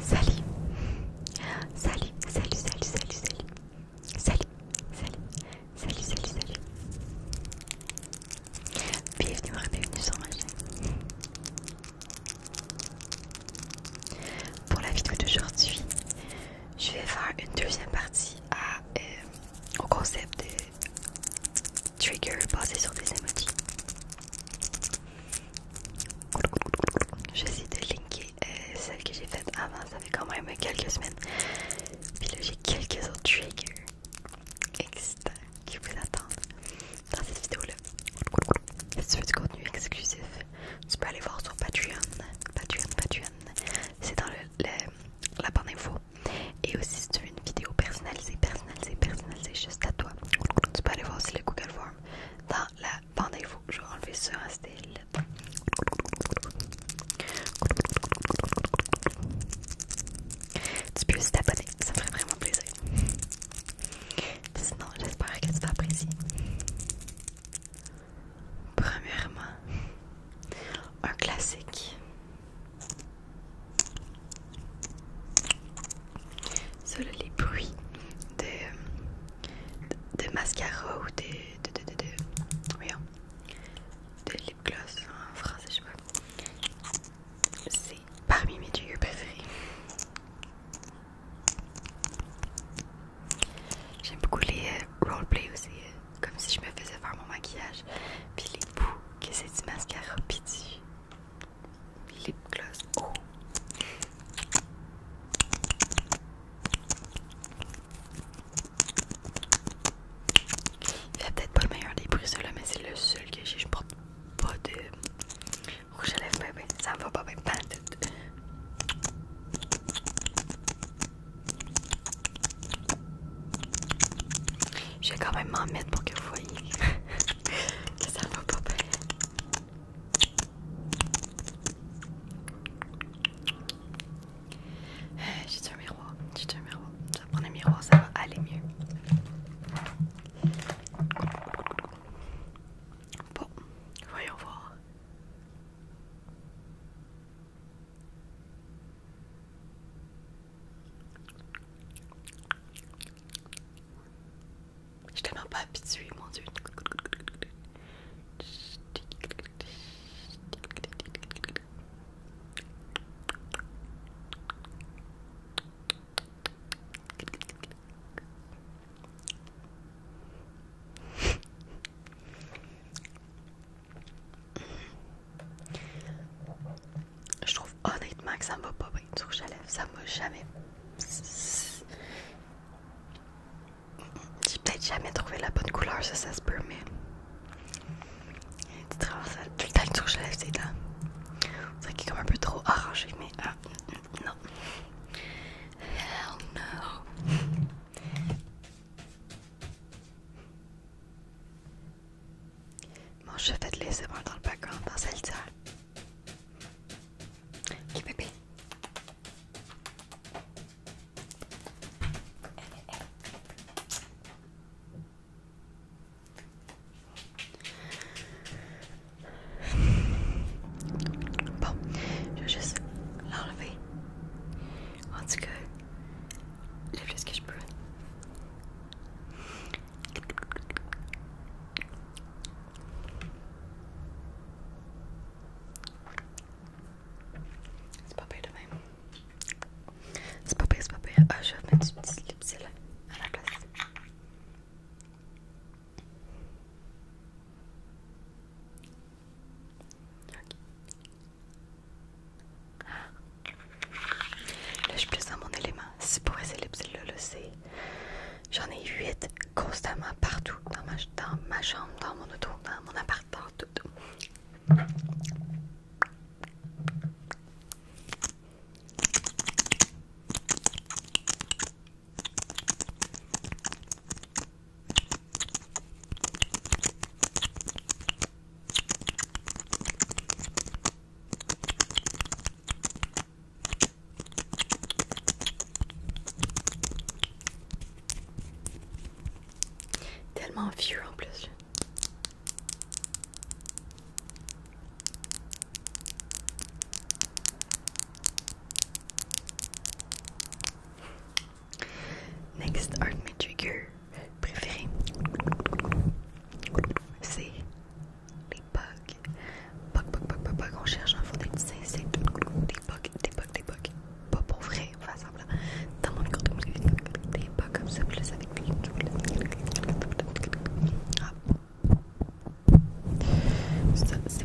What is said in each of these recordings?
Salut. Salut, salut, salut, salut, salut. Salut, salut, salut, salut, salut. Bienvenue bienvenue sur ma chaîne. Pour la vidéo d'aujourd'hui, je vais faire une deuxième partie euh, au concept de trigger basés sur des emojis. J'essaie de linker euh, celle que j'ai faite avant, ça fait quand même quelques semaines. Puis là, j'ai quelques autres triggers excitants qui vous attendent dans cette vidéo-là. Si tu veux du contenu exclusif, tu peux aller voir sur Patreon. Patreon, Patreon. C'est dans la barre d'infos. Et aussi, si tu veux une vidéo personnalisée, personnalisée, personnalisée c'est juste à toi. Tu peux aller voir aussi le Google Form dans la bande info. Je vais enlever ce en style. Tu peux aussi t'abonner, ça me ferait vraiment plaisir. Sinon, j'espère que tu vas apprécier. Premièrement, un classique. Seuls les bruits de, de mascara ou de, de, lip gloss hein, en français, je sais pas. C'est parmi mes duos préférés. J'aime beaucoup les role euh, roleplay aussi, euh, comme si je me faisais faire mon maquillage, puis les bouts que c'est du mascara, puis dessus lip gloss oh. Il fait peut-être pas le meilleur des bruits là mais c'est le seul que j'ai. Je porte pas de rouge à lèvres, mais ça me va pas bien tout. Je vais quand même m'en mettre pour que vous voyez. que ça va pas J'ai un miroir, j'ai un miroir. Ça prend prendre un miroir, ça va aller mieux. Bon, voyons voir. Je suis tellement pas habituée, mon dieu je trouve honnêtement que ça me va pas bien Rouge à lèvres. Ça va jamais. J'ai peut-être jamais trouvé la bonne couleur, ça, se peut, mais. Tu traverses tout le temps que à lèvres, c'est là. Ça qu'il est comme un peu trop orangé, mais. Euh, non. Hell no. Mon chef fait de laisser dans le background dans celle litière. Qui bébé? Eh, eh, eh. Bon, je vais juste l'enlever. En tout cas, le ce que je peux. C'est pas pire de même. C'est pas pire, c'est pas pire. Ah, je vais mettre du petit lipsil à la place. Ok je suis plus dans mon élément. C'est pour le le le c'est. J'en ai 8 constamment partout. Dans ma, chambre, dans mon auto, dans mon appartement tout. Tellement vieux en plus. Next art my trigger. préféré, c'est les bugs. Bug, bug, bug, On cherche un fond de c'est Des bugs, des bugs, des bugs. Pas pour vrai, on va mon comme ça, avec ça c'est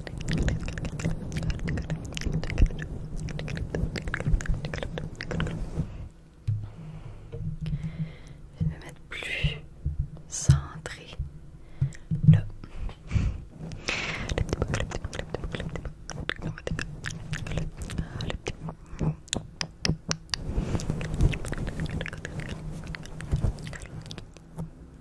Je vais me mettre plus centré. le...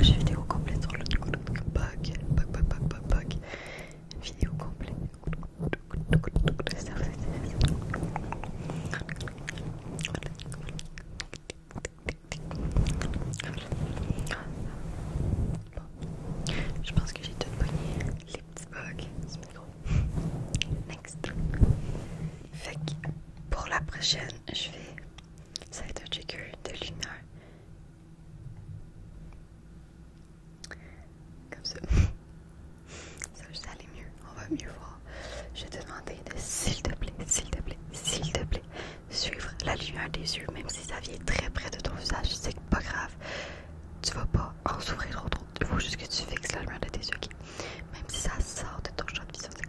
J'ai vidéo complète sur le bug, bug, bug, bug, bug, bug. Vidéo complète. Je pense que j'ai tout les petits bugs Next. Fait pour la prochaine, je vais. Ça va de lune. Comme ça. Ça va juste aller mieux. On va mieux voir. Je vais te demander de, s'il te plaît, s'il te plaît, s'il te plaît, suivre la lumière des yeux, même si ça vient très près de ton visage. C'est pas grave. Tu vas pas en souffrir trop Il faut juste que tu fixes la lumière de tes yeux. Même si ça sort de ton champ de vision, c'est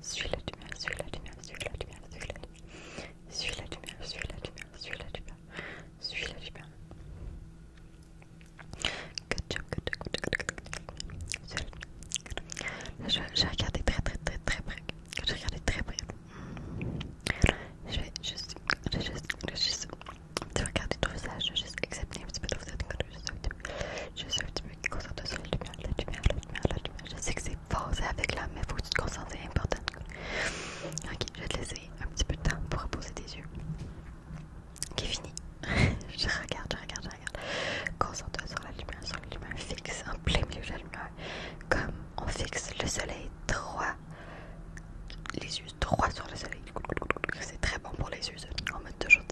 Suis-la du suis-la du suis-la du suis-la du très très très très près. très près. Je vais juste, je je vais je juste Concentre-toi sur la lumière, la lumière, la lumière, la lumière. Je sais que c'est fort, c'est avec l'âme, mais faut que tu te concentres, c'est important. Ok, je vais te laisser un petit peu de temps pour reposer tes yeux. Ok, fini. je regarde, je regarde, je regarde. Concentre-toi sur la lumière, sur la lumière fixe, en plein milieu de la lumière. Comme on fixe le soleil droit, les yeux droits sur le soleil. C'est très bon pour les yeux, En On met toujours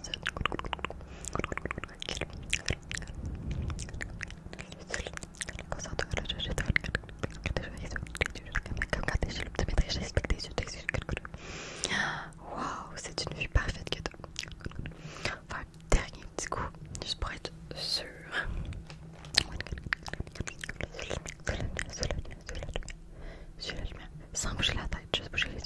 Wow, c'est une vue parfaite Enfin, dernier petit coup, juste pour être sûr. Sans bouger la tête, juste bouger les yeux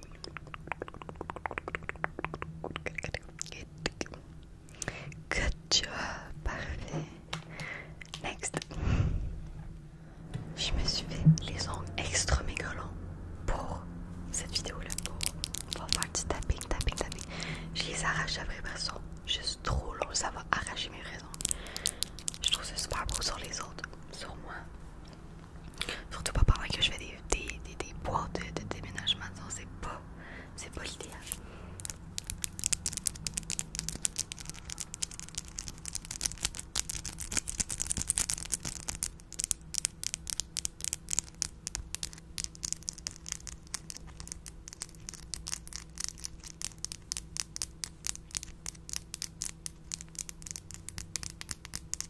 Good job, parfait. Next. Je me suis fait les ongles extra pour cette vidéo-là. On va faire du tapping, tapping, tapping. Je les arrache à personne. Juste trop long, ça va arracher mes raisons. Je trouve ça super beau sur les autres. Sur moi, Surtout pas pendant que je fais des, des, boîtes de, déménagement, c'est pas, pas l'idéal.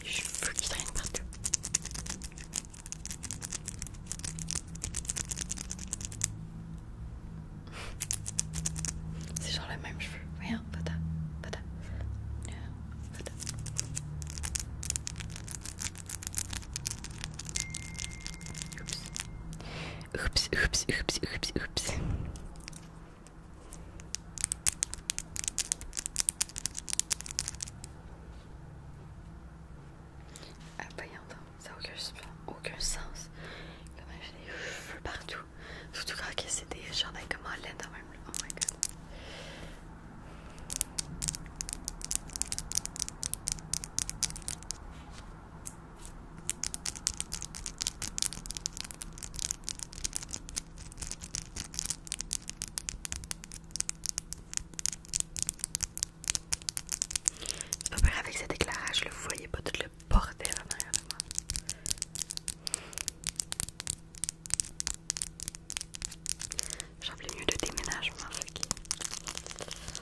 Des cheveux qui traînent partout. C'est genre les même cheveux, Viens, pata, pata, pata. Oups. Oups, oups, oups, oups, oups. Ah, pas ça n'a aucun, aucun sens. Comment j'ai des cheveux partout. Surtout quand c'est des jardins comme en laine, même. Oh my god. Super avec cet éclairage, le voyais pas tout le bordel en arrière de moi. J'en mieux de déménagement, fait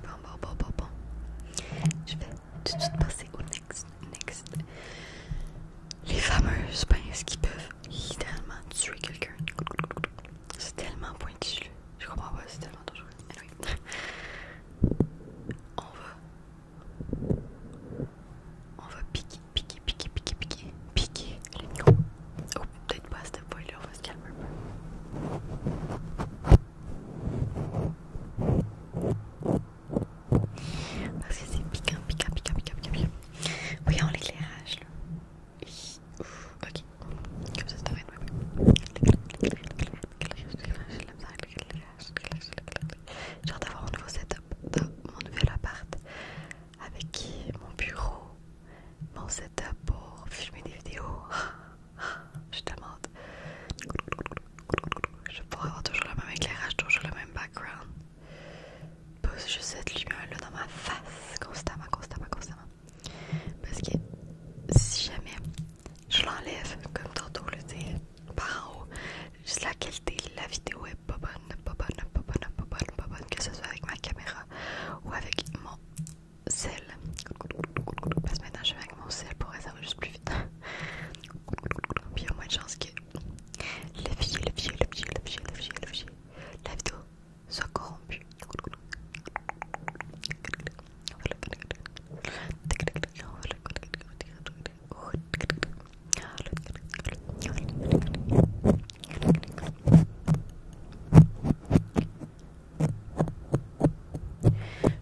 Bon, bon, bon, bon, bon. Je vais tout de suite passer au next, next. Les fameuses pinces qui peuvent littéralement tuer quelqu'un. C'est tellement pointu, je comprends pas, c'est tellement ah on va. On va piquer, piquer, piquer, piquer, piquer, piquer les Oh, peut-être pas cette fois on va se calmer un peu. Parce que c'est piquant, piquant, piquant, piquant, piquant. Oui, on l'éclairage là. Ok, اوكي ça تستفيد منه؟ J'ai hâte d'avoir un nouveau setup dans mon nouvel appart avec mon bureau, mon setup pour filmer des vidéos. Je suis Je pourrais avoir toujours le même éclairage, toujours le même background. Pousse juste cette lumière là dans ma face constamment, constamment, constamment. Parce que si jamais je l'enlève, comme tantôt le dé par en haut, juste la qualité la vidéo est pas bonne, pas bonne, pas bonne, pas bonne, pas bonne, que ce soit avec ma caméra ou avec mon sel. Parce que maintenant je vais avec mon sel pour réserver juste plus vite. Puis il y a moins de chance que le fichier, le fichier, le fichier, le fichier, le fichier, le fichier, la vidéo ça corrompu.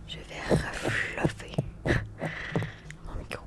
Je vais refluffer mon micro.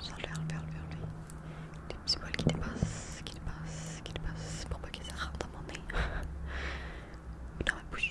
Ça l'air le perle vers lui. Des petits poils qui dépassent, qui dépassent, qui dépassent pour pas qu'ils rentrent dans mon nez. Dans la bouche.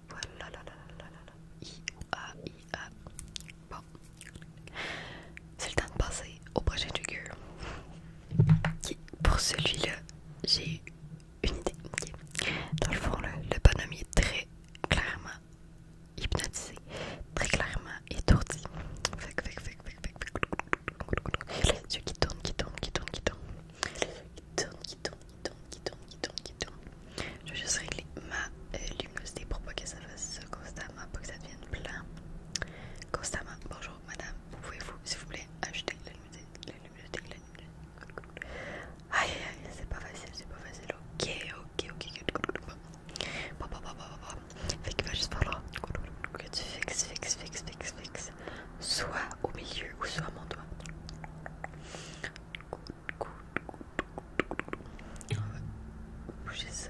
Voilà, là, là, là, là, là. I, A, I, A. Bon. C'est le temps de passer au prochain trigger. Pour celui-là, j'ai une idée. Dans le fond, le, le bonhomme est très clairement hypnotisé, très clairement étourdi. Fait, fait, fait, Les yeux qui tournent, qui tournent, qui tournent, qui tournent tourne, qui tourne, qui tourne, qui tourne, qui tourne, qui tourne. Je vais juste régler ma luminosité pour pas que ça fasse constamment, pour que ça devienne plein. Constamment. Bonjour madame, pouvez vous, s'il vous plaît, ajouter la luminosité, la luminosité, la luminosité. c'est pas facile, c'est pas facile. Ok, ok, ok, ok. juste falloir soit au milieu ou soit mon doigt. ça.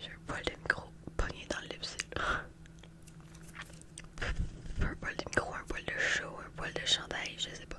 j'ai un poil de micro, pogné dans le lipsil. Un poil de micro, un poil de chaud, un poil de chandail, je sais pas.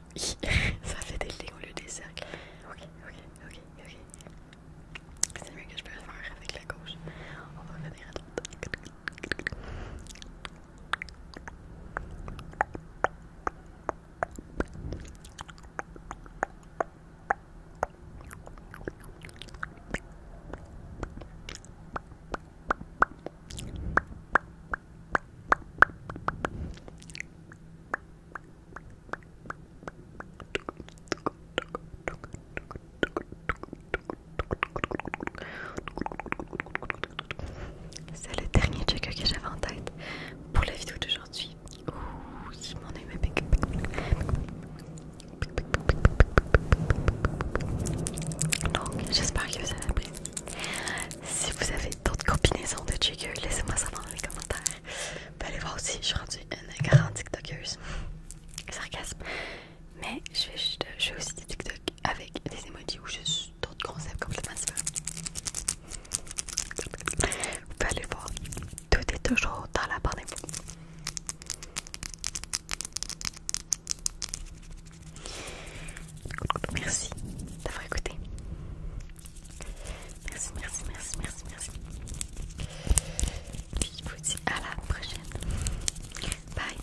ça fait des lignes au lieu des cercles. Ok, ok, ok, ok. C'est mieux que je peux le faire avec la gauche. On va venir à droite. C'est le dernier checker que j'avais en tête pour la vidéo d'aujourd'hui. Ouh, si mon Donc, j'espère que vous avez appris. Si vous avez d'autres combinaisons de jigger, laissez-moi savoir dans les commentaires. Vous pouvez aller voir aussi, je suis rendue une grande TikTokeuse. Sarcasme. Mais je fais, aussi des TikTok avec des emojis ou juste d'autres concepts complètement différents. Vous pouvez aller voir. Tout est toujours dans la barre d'infos. Merci d'avoir écouté. Merci, merci, merci, merci, merci. Puis je vous dis à la prochaine. Bye.